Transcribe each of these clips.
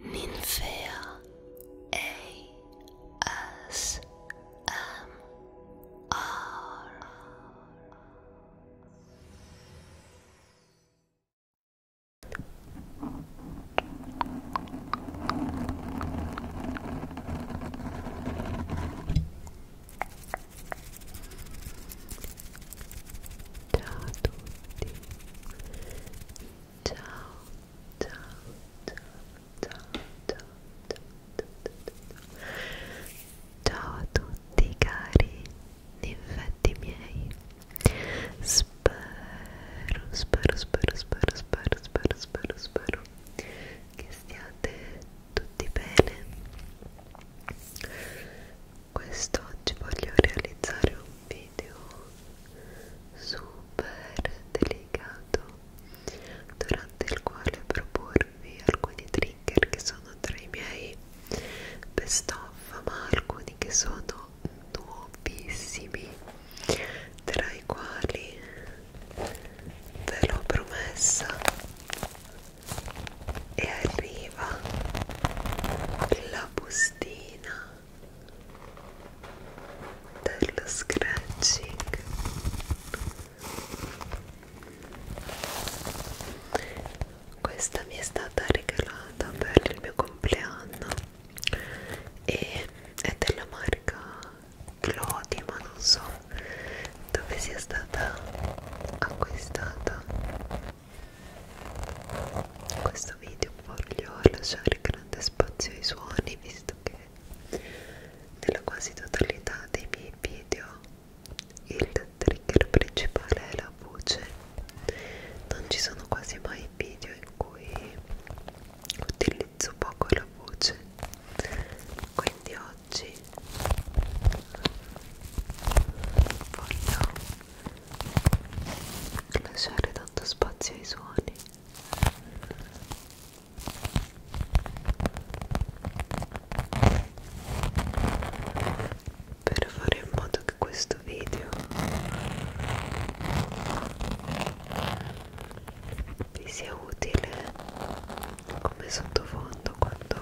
Ninfea ASMR Ciao a tutti ciao, ciao, ciao, ciao, ciao, ciao, ciao, ciao a tutti cari infetti miei. Spero, spero, spero, spero, spero, spero, spero, spero che stiate tutti bene. Quest'oggi voglio realizzare un video video super delicato durante il quale proporvi alcuni trigger che sono tra i miei best of ma alcuni che sono nuovissimi tra i quali ve l'ho promessa e arriva la bustina dello scratching questa mi è stata regalata per il mio compleanno e è della marca Clodi ma non so dove sia stata acquistata in questo video voglio lasciare grande spazio ai suoni visto che nella quasi totalità dei miei video il trigger principale è la voce non ci sono quasi mai video in cui utilizzo poco la voce quindi oggi voglio lasciare tanto spazio ai suoni per fare in modo che questo video vi sia utile come sottofondo quando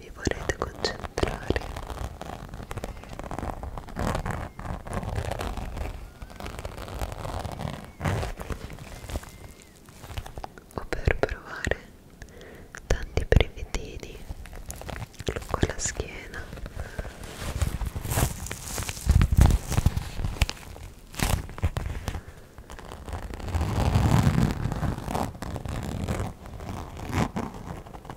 vi vorrete concentrare o per provare tanti brevettini lungo la schiena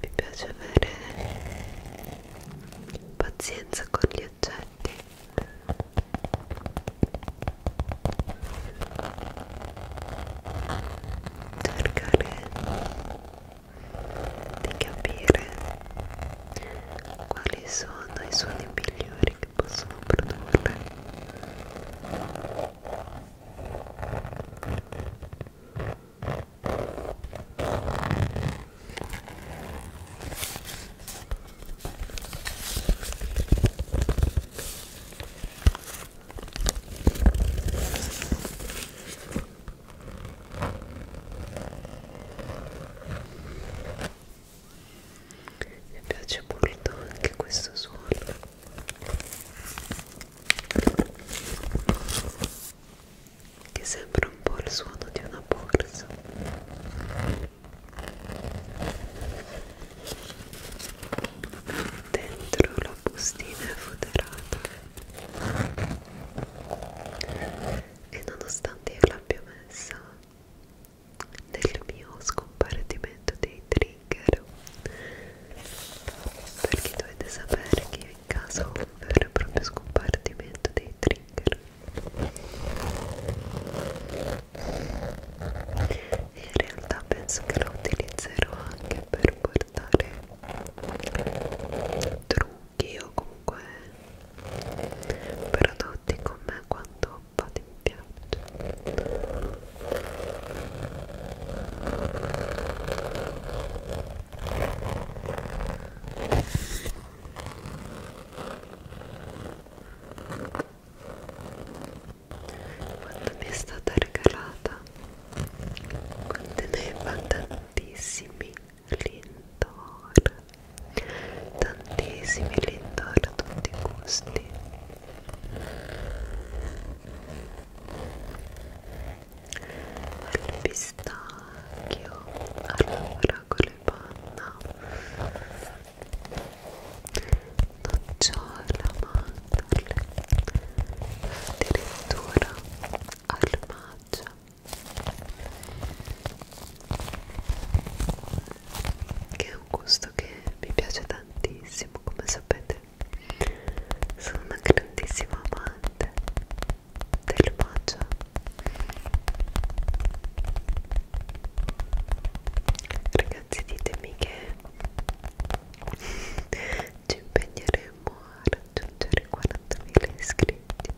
Mi piace avere pazienza con gli oggetti. Cercare di capire quali sono i suoni migliori che possono produrre mi piace molto anche questo suono che sembra un po' il suono di una borsa dentro la bustina è foderata e nonostante io l'abbia messa nel mio scompartimento dei trigger perché dovete sapere che in casa ho un vero e proprio scompartimento dei trigger e in realtà penso che lo utilizzerò anche per portare guardare trucchi o comunque prodotti con me quando vado in piaccia quando mi è stata regalata conteneva tantissimi lindor tantissimi lindor a tutti i gusti al pistacchio allora con le panna nocciola mandorle addirittura al matcha che è un gusto che mi piace tantissimo come sapete sono una grandissima amante del matcha ragazzi ditemi che ci impegneremo saremo a raggiungere 40.000 iscritti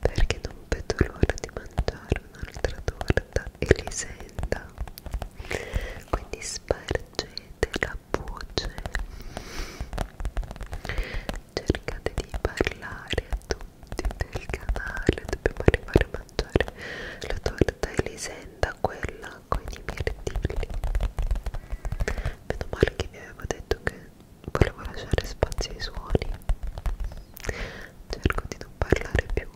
perché non vedo l'ora di mangiare un'altra torta elisenda quindi spargete la voce cercate di parlare a tutti del canale dobbiamo arrivare a mangiare la torta elisenda quella con i mirtilli meno male che vi avevo detto che volevo lasciare spazio ai suoni cerco di non parlare più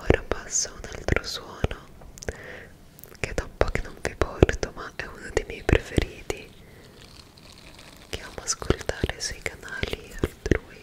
Ora passo a un altro suono che da un po' che non vi porto, ma è uno dei miei preferiti che amo ascoltare sui canali altrui.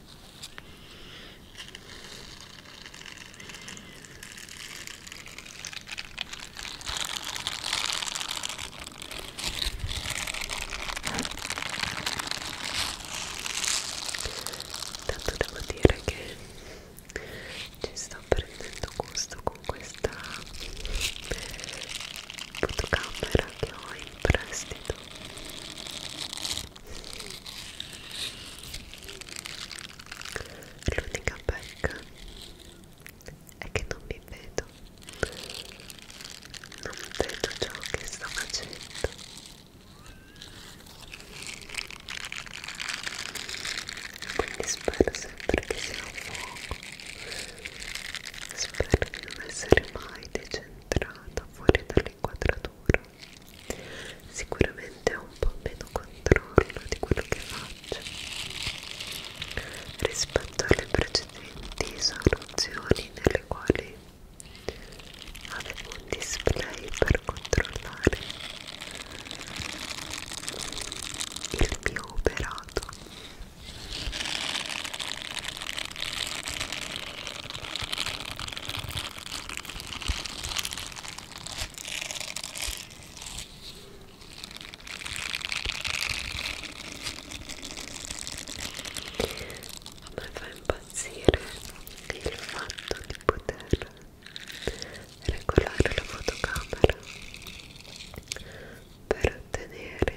Tanto devo dire che ci sto prendendo gusto con questa fotocamera che ho in prestito l'unica pecca è che non mi vedo non vedo ciò che sto facendo quindi spero sempre che sia un fuoco spero di non essere mai decentrata fuori dal l'inquadratura sicuramente ho un po' meno controllo di quello che faccio rispetto alle precedenti soluzioni nelle quali avevo un display per controllare il mio operato mi fa impazzire il fatto di poter regolare la fotocamera per ottenere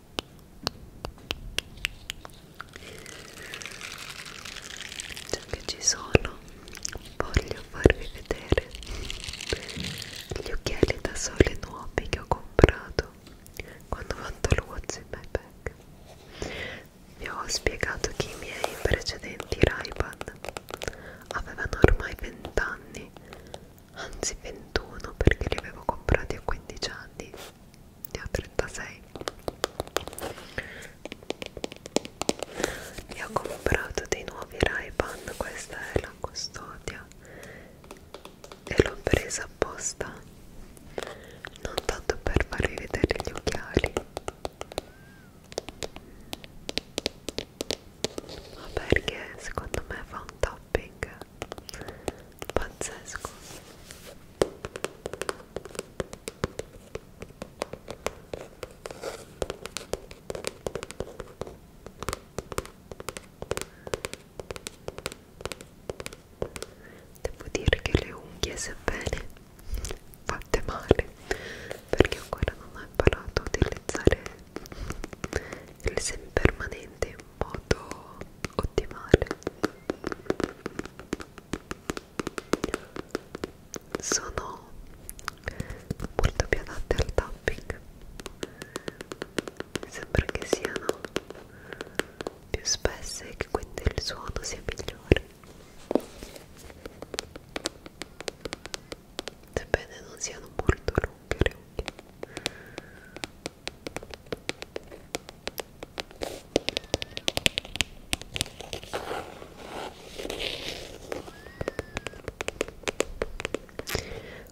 Già che ci sono, voglio farvi vedere gli occhiali da sole nuovi che ho comprato quando ho fatto il What's in My Bag. Vi ho spiegato che i miei precedenti Ray-Ban avevano ormai 20 anni, anzi 21 perché li avevo comprati a 15 anni ne ho 36 e ho comprato dei nuovi Ray-Ban questa è la custodia e l'ho presa apposta non tanto per farvi vedere gli occhiali ma perché secondo me fa un topping pazzesco devo dire che le unghie sebbene fatte male perché ancora non ho imparato a utilizzare il semipermanente modo ottimale sono molto più adatte al tapping mi sembra che siano più spesse e che quindi il suono sia migliore sebbene non siano molto lunghe le unghie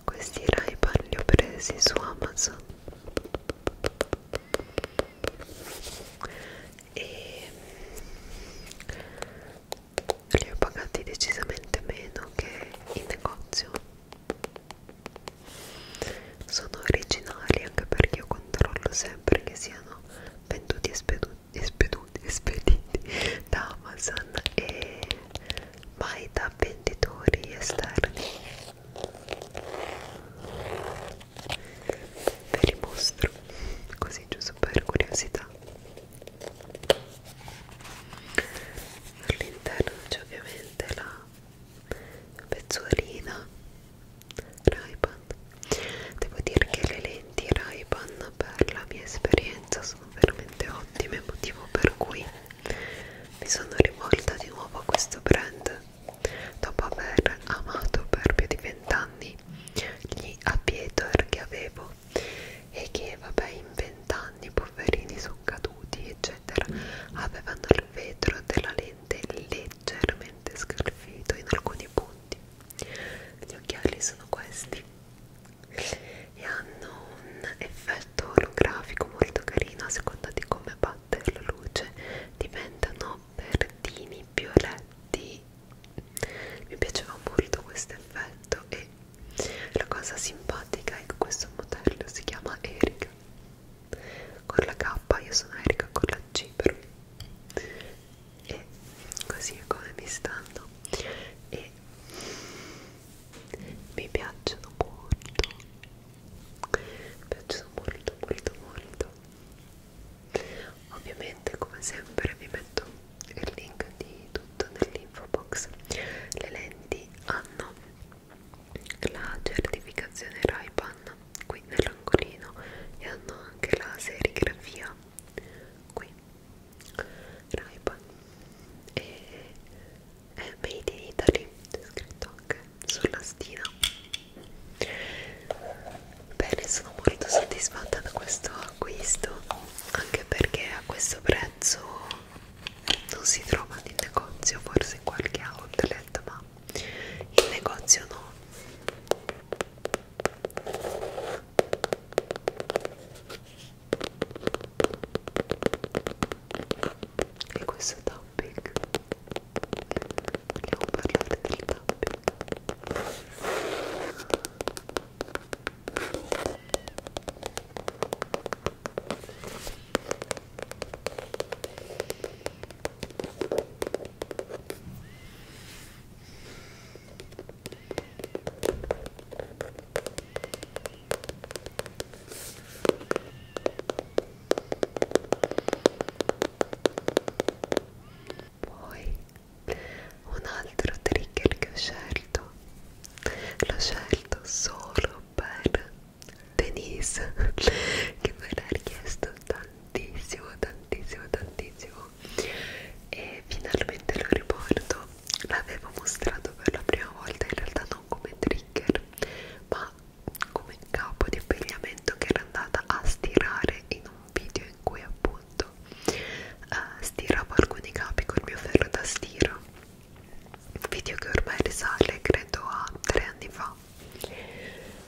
questi Ray-Ban li ho presi su Amazon e li ho pagati decisamente meno che in negozio sono originali anche perché io controllo sempre che siano venduti e speduti, speduti, spediti da Amazon e mai da venditori esterni ve li mostro così giusto per curiosità all'interno c'è ovviamente la pezzuolina Ray-Ban devo dire che le lenti Ray-Ban per la mia esperienza sono veramente ottime motivo per cui mi sono rivolta di nuovo a questo brand dopo aver amato per più di vent'anni gli Aviator che avevo e che vabbè in vent'anni poverini sono caduti battuti eccetera avevano il vetro della lente leggermente scalfito in alcuni punti gli occhiali sono questi e hanno un effetto olografico molto carino a seconda di come batte la luce diventano verdini violetti mi piaceva molto questo effetto e la cosa simpatica è che questo modello si chiama Eric con la K io sono Erika con la C però e così è come mi stanno e mi piacciono molto mi piacciono molto molto molto ovviamente come sempre vi metto il link di tutto nell'info box le lenti hanno la certificazione Raipan qui nell'angolino e hanno anche la serigrafia qui Raipan e è made in Italy è scritto anche sulla stina bene sono molto soddisfatta da questo acquisto anche perché a questo prezzo non si trova in negozio forse in qualche outlet ma in negozio no e questo è tapping vogliamo parlare del tapping poi un altro trigger che ho scelto, l'ho scelto solo per Denise che me l'ha richiesto tantissimo tantissimo tantissimo e finalmente lo riporto l'avevo mostrato per la prima volta in realtà non come trigger ma come capo di abbigliamento che era andata a stirare in un video in cui appunto uh, stiravo alcuni capi col mio ferro da stiro video che ormai risale credo a tre anni fa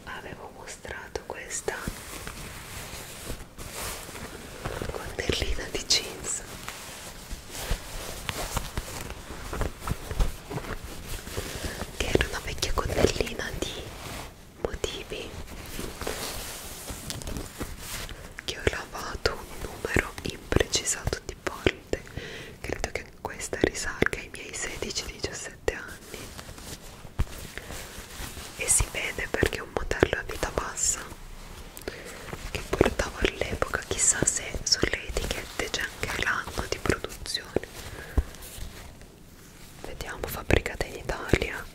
avevo mostrato questa connellina di jeans che era una vecchia connellina di motivi che ho lavato un numero imprecisato di volte credo che questa risalga ai miei 16-17 anni e si vede perché un modello a vita bassa che portavo all'epoca chissà se sulle etichette c'è anche l'anno di produzione vediamo fabbricata in Italia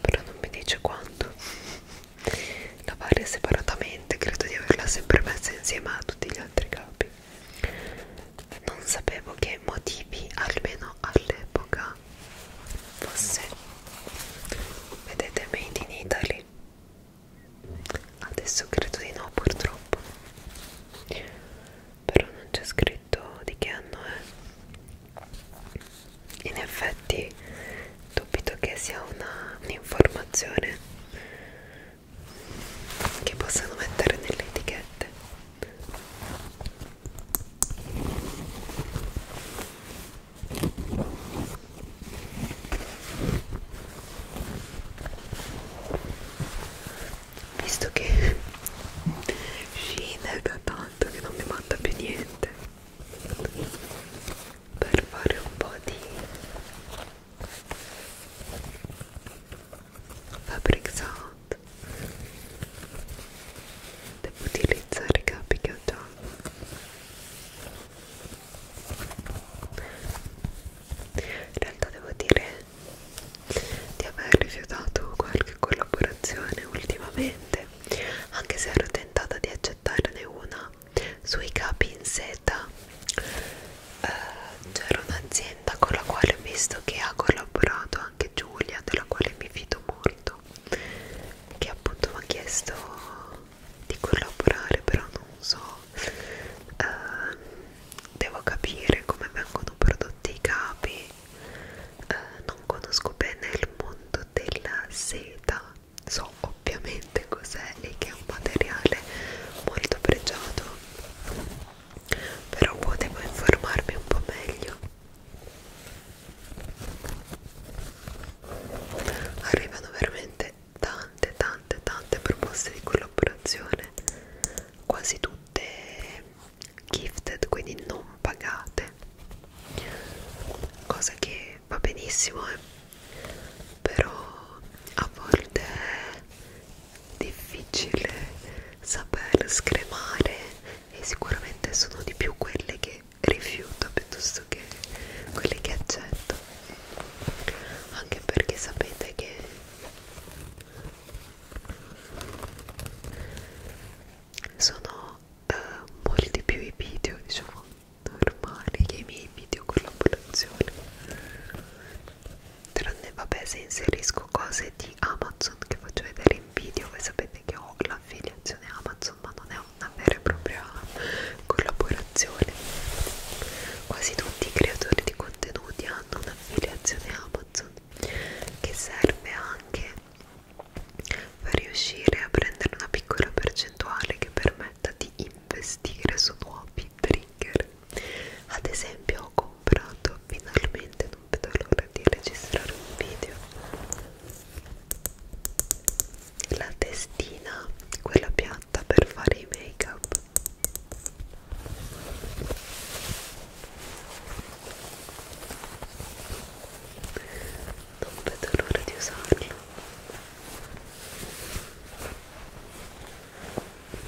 però non mi dice quando la varia separatamente credo di averla sempre messa insieme a tutti gli altri capi non sapevo che motivi almeno all'epoca fosse vedete made in Italy adesso credo di no purtroppo però non c'è scritto di che anno è in effetti dubito che sia un'informazione un che possano mettere nelle etichette visto che Shein da tanto che non mi manda più niente per fare un po' di fabric sound devo utilizzare i capi che ho già in realtà devo dire di aver rifiutato qualche collaborazione ultimamente anche se ero tentata di accettarne una sui capi in seta uh, eh, c'era cioè, un'azienda con la quale ho visto che ha collaborato anche Giulia della quale mi fido molto che appunto mi ha chiesto di collaborare però non so uh, devo capire come vengono prodotti i capi uh, non conosco bene il mondo della seta so ovviamente cos'è e che è un materiale molto pregiato però potevo informarmi un po' meglio arrivano veramente tante tante tante proposte di collaborazione quasi tutte gifted quindi non pagate cosa che va benissimo eh? però a volte difficile saper scremare e sicuramente sono di più quelle che rifiuto piuttosto che quelle che accetto anche perché sapete che sono eh, molti più i video diciamo normali che i miei video collaborazione tranne vabbè se inserisco cose di Amazon che faccio vedere in video voi sapete che ho l'affiliazione Amazon ma non è una vera e propria collaborazione quasi tutti i creatori di contenuti hanno un'affiliazione Amazon che serve anche per riuscire a prendere una piccola percentuale che permetta di investire su nuovi trigger ad esempio ho comprato finalmente non vedo l'ora di registrare un video la testina quella piatta per fare i make up non vedo l'ora di usarlo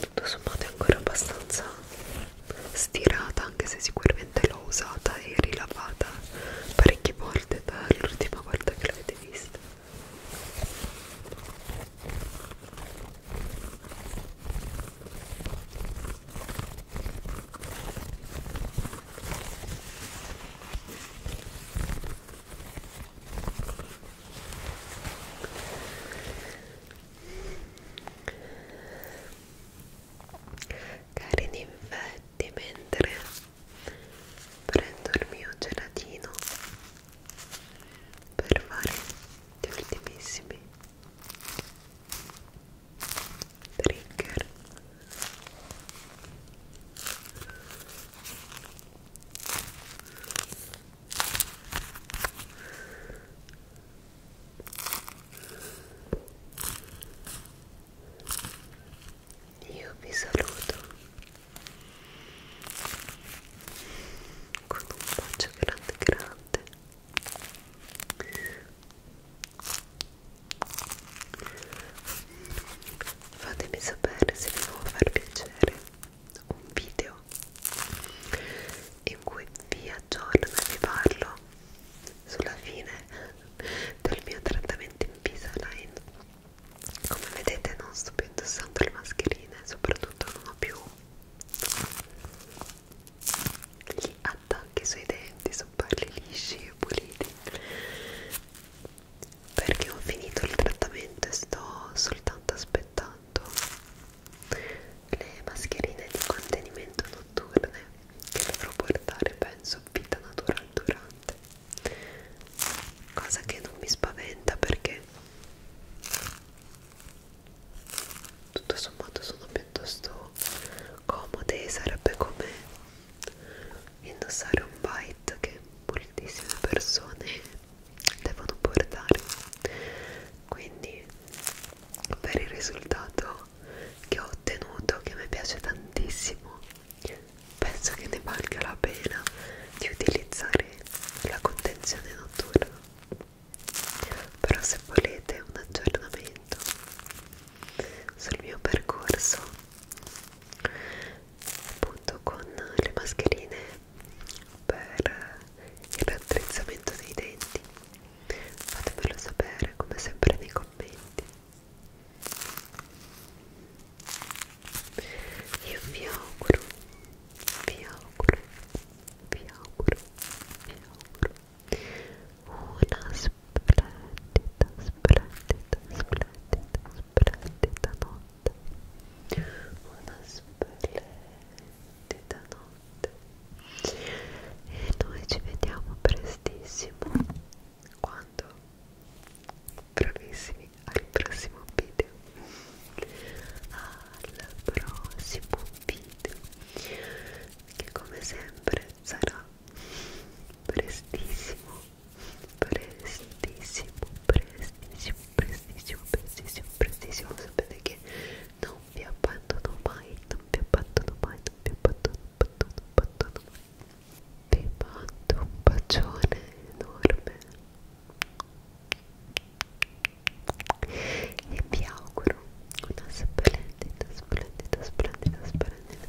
tutto sommato è ancora abbastanza stirata anche se sicuramente l'ho usata e rilavata parecchie volte dall'ultima volta che l'avete vista Cari ninfetti, mentre prendo il mio gelatino per fare gli ultimissimi trigger io vi saluto con un bacio grande grande fatemi sapere se vi può far piacere un video in cui vi aggiorno e vi parlo sulla fine del mio trattamento in Visalign come vedete non sto più indossando le mascherine soprattutto non ho più gli attacchi sui denti, so farli lisci e puliti perché ho finito il trattamento e sto soltanto aspettando le mascherine di contenimento notturne che dovrò portare penso vita natural durante cosa che non mi spaventa perché tutto sommato sono piuttosto comode sarebbe come indossare un bite che moltissime persone devono portare quindi per il risultato che ho ottenuto che mi piace tantissimo penso che ne valga la pena di utilizzare la contenzione notturna però se volete un aggiornamento sul mio percorso appunto con le mascherine per il raddrizzamento dei denti fatemelo sapere come sempre nei commenti io vi auguro vi auguro vi auguro vi auguro una splendida, splendida, splendida, splendida notte una splendida notte e noi ci vediamo prestissimo quando? bravissimi al prossimo video al prossimo video che come sempre sarà Prestíssimo, prestíssimo, prestíssimo, prestíssimo, prestíssimo, prestíssimo. Você que não me abandono mais, não me abandono mais, não me abandono, abandono, abandono mais. Vi mando um bacione enorme e vi auguro uma splendida, splendida, splendida, splendida